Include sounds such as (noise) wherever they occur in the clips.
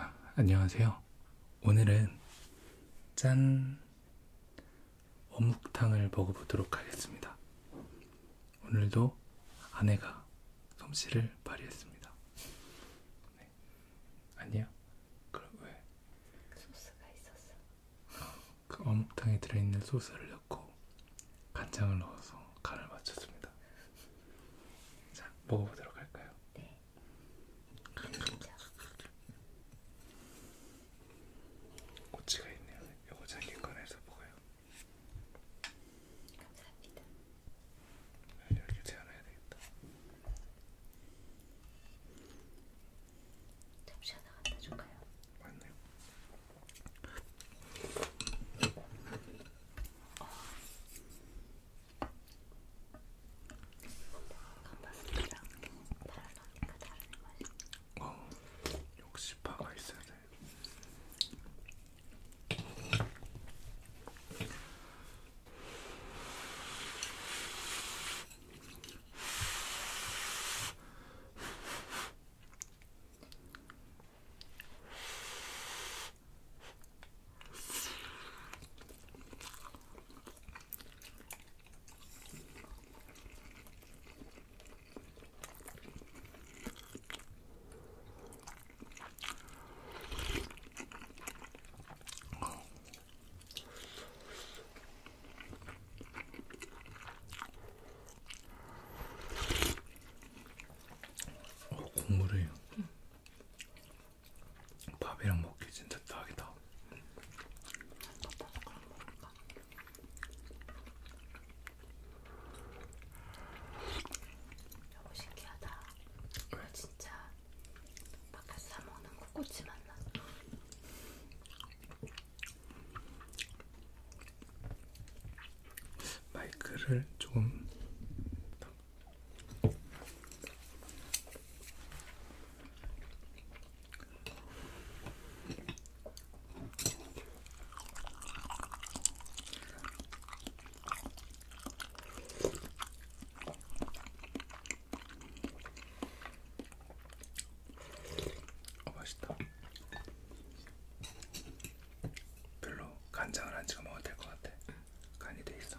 아, 안녕하세요. 오늘은 짠 어묵탕을 먹어보도록 하겠습니다. 오늘도 아내가 솜씨를 발휘했습니다. 네. 아니야? 그럼 왜? 소스가 있었어. 그 어묵탕에 들어있는 소스를 넣고 간장을 넣어서 간을 맞췄습니다. 자, 먹어보도록 할까요? 네. 음. 그렇죠. 꼬치가 있네요. 요거 자기 꺼내서 먹어요. 감사합니다. 네, 이렇게 재워놔야 되겠다. 접시 하나 갖다 줄까요? 맞네요. 어. 감바스랑 바람막이가 다른 맛이 어, 역시 파가 있어야 돼. 어, 국물이 응. 밥이랑 먹기 진짜 딱이다. 응. 너무 신기하다. 이거 진짜 밖에서 사 먹는 코코치 맛나. 마이크를 조금 어, 맛있다. 별로 간장을 안 찍어 먹어도 될 것 같아. 간이 돼 있어.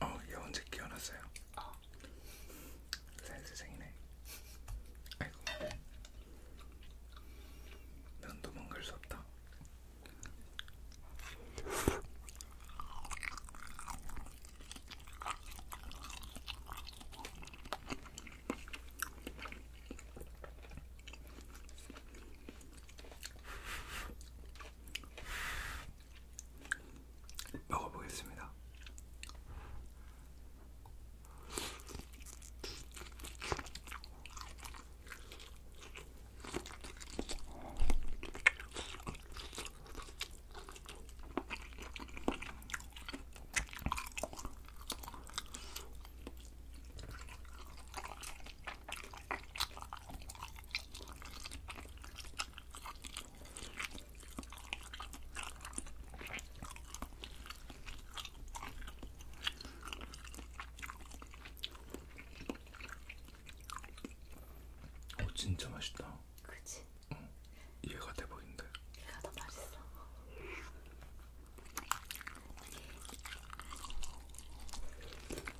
어, 얘 언제 깨어났어요? 어. 아. 센스쟁이네. 아이고, 넌 도망갈 수 없다. 먹어보겠습니다. 어 진짜 맛있다. 그치? 어, 얘가 대박인데. 얘가 더 맛있어.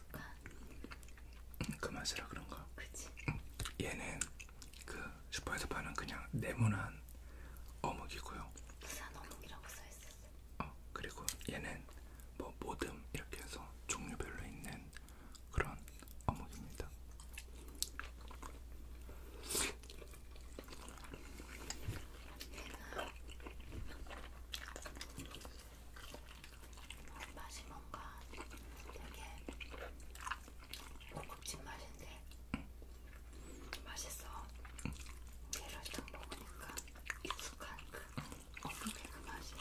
익숙한 응, 그 맛이라 그런가? 그치 응. 얘는 그 슈퍼에서 파는 그냥 네모난 어묵이고요 부산 어묵이라고 써있었어 어 그리고 얘는 뭐 모듬 이렇게 해서 종류별로 있는 그런 어묵입니다 맛이 뭔가 되게 고급진 맛인데 맛있어. 얘를 딱 먹으니까 익숙한 그 어묵의 그 맛이.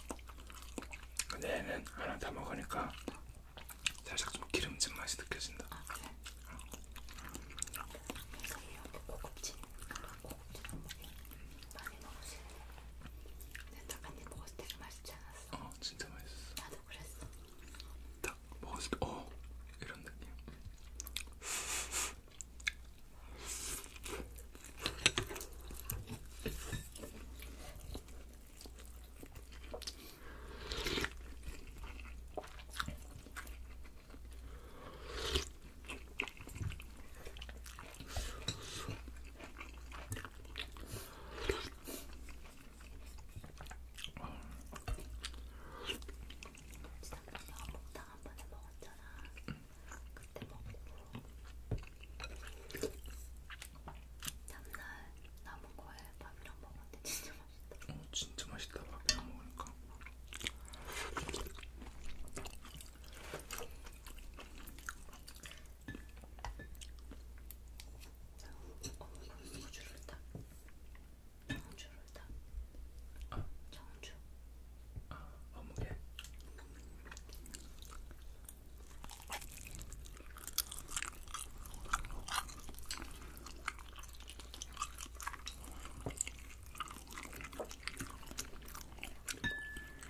근데 얘는 하나 다 먹으니까 살짝 좀 기름진 맛이 느껴진다. 아, 그래? 응. 그래서 이렇게 고급진, 고급진 어묵이 많이 먹었을때 근데 작가님 먹었을 때 맛있지 않았어? 어 진짜 맛있었어 나도 그랬어 딱 먹었을 때어 이런 느낌 목탕 한 번에 먹었잖아. 그때 먹고 다음날 남은 거에 밥이랑 먹었는데 진짜 맛있다. 어, 진짜 맛있다. 밥이랑 먹으니까. 정주를 타. 정주를 타. 어? 정주. 아, 어, 어묵에.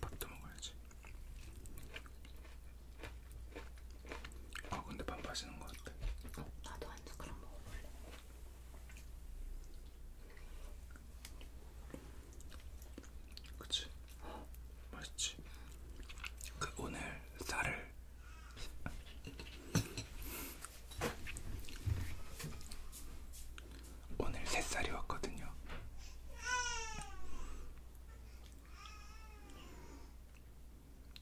밥도 먹어야지. 아 근데 밥 마시는 것 같아. 나도 한 숟가락 먹어볼래. 그치? 맛있지? 그 오늘 쌀을 오늘 새살이 왔거든요.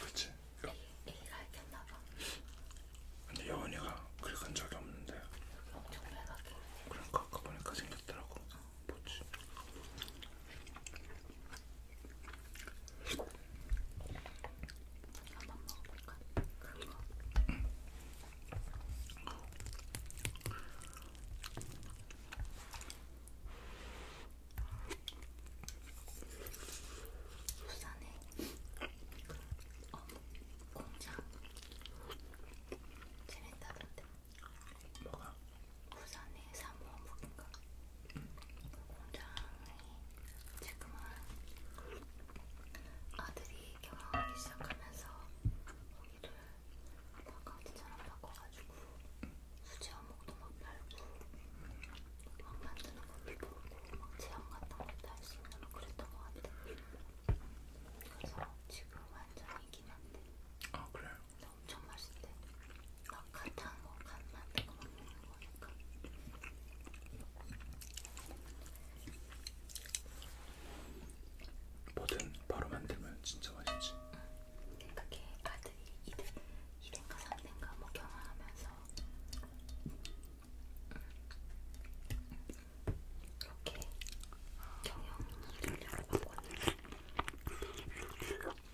그치? 여... 애기가 했겠나봐 근데 여운이가 긁은 적이 없는데 여기 엄청 빨갛게 그러니까 아까 보니까 생겼더라고 어. 뭐지? 한번 먹어볼까? 그런 거. 부산에 그 어묵 공장 재밌다던데 뭐가? 부산에 삼원북인가? 그 공장이 지금은 아들이 결혼하기 시작하면서 거기를 바깥처럼 바꿔가지고 수제 어묵도 막 팔고 막 만드는 것도 보고 막 체험 같은 것도 할 수 있는 막 그랬던 것 같아. 그래서 지금 완전히 이긴 한데. 아 그래요? 근데 엄청 맛있대. 막 간한 거, 간 만든 거막 먹는 거니까. 뭐든 바로 만들면 진짜 맛있지. 응. 그러니까 걔 아들이 2등, 2등가 3등가 뭐 경험하면서 이렇게 경영 일을 하고 왔는데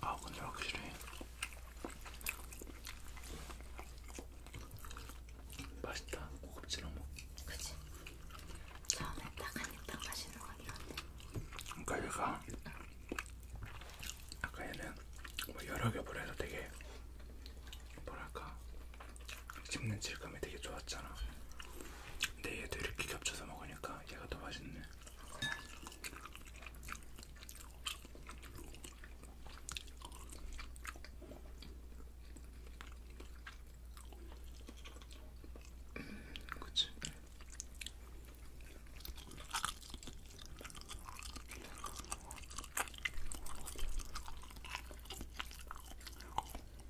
아 근데 확실히 맛있다 고급지랑 먹. 그치. 처음에 딱한입딱 맛있는 거긴 한데. 그러니까 얘가 아까 얘는 뭐 여러 겹을 해서 되게 뭐랄까 씹는 질감이 되게 좋았잖아. 근데 얘도 이렇게 겹쳐서 먹으니까 얘가 더 맛있네. 음, 그치?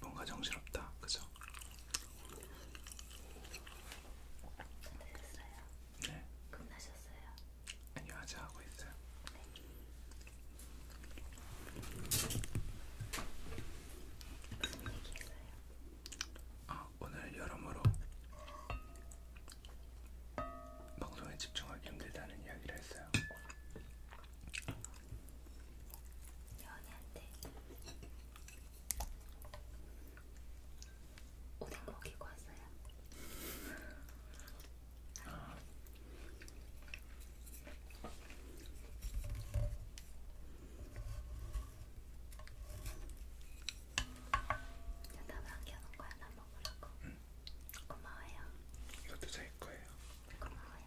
뭔가 정신없다, 그죠? 네. 끝나셨어요? 아니요 아직 하고 있어요. 아 오늘 여러모로 방송에 집중하기 힘들다는 이야기를 했어요. 연애한테 오뎅 먹이고 왔어요. (laughs) 남겨놓은 거야 나 먹으라고. 응. 고마워요. 이것도 제 거예요. 고마워요.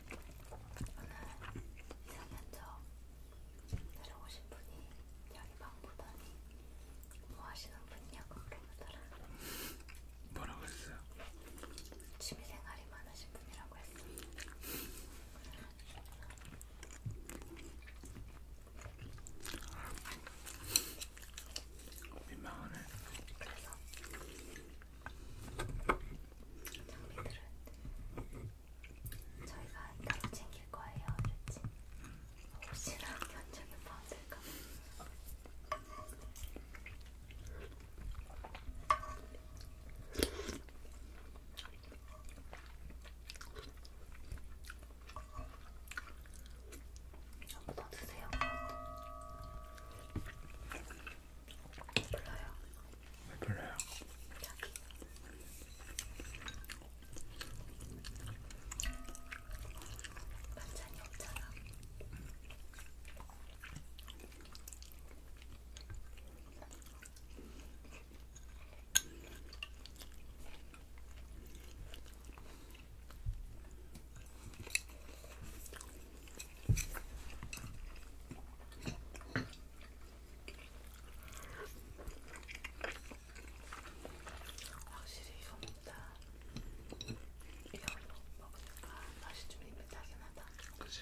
오늘 이상현저 내려오신 분이 여기 방보더니 뭐 하시는 분이냐고 물어보더라. 뭐라고 했어요? 취미생활이 많으신 분이라고 했어. 민망하네. 그래서 장비들은 저희가 따로 챙길 거예요, 그렇지? 혹시나 견적이 빠질까 봐. 한번더 드세요. 별로요. 왜 별로야? 자기. 반찬이 없잖아. 확실히 이거보다 이걸로 먹으니까 맛이 좀 입에 타긴 하다. 그치?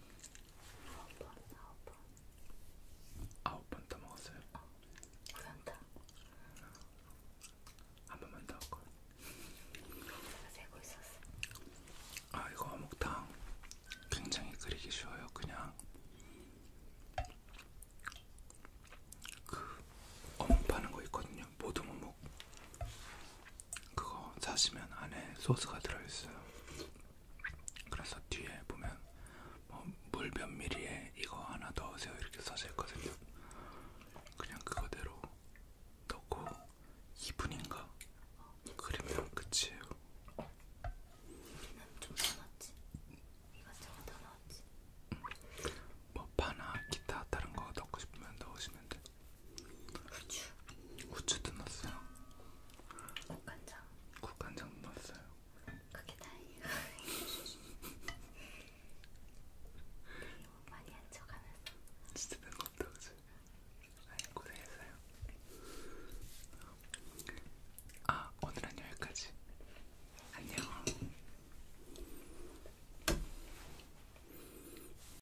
아홉 번, 아홉 번. 아홉 번 더 먹었어요? 어, 아, 괜찮다. 아, 아, 한 번만 더 할걸. 내가 세고 있었어. 아 이거 어묵탕 굉장히 끓이기 쉬워요. 그냥 그 어묵 파는 거 있거든요. 모둠 어묵. 그거 사시면 안에 소스가 들어있어요. 그래서 뒤에 보면 뭐물몇 미리에 이거 하나 넣으세요 이렇게 써져 있거든요. 그냥 그거대로 넣고 2분인가 그러면 끝이에요. 우리는 좀더 넣었지. 이것저것 아, 다 넣었지. 뭐 파나 기타 다른 거 넣고 싶으면 넣으시면 돼. 후추 후추도 넣었어요 국간장 국간장 넣었어요 그게 다행이에요 되게 (laughs) 뭐 많이 한척하면서 진짜 된것같다 그치? 아니 고생했어요 아 오늘은 여기까지 안녕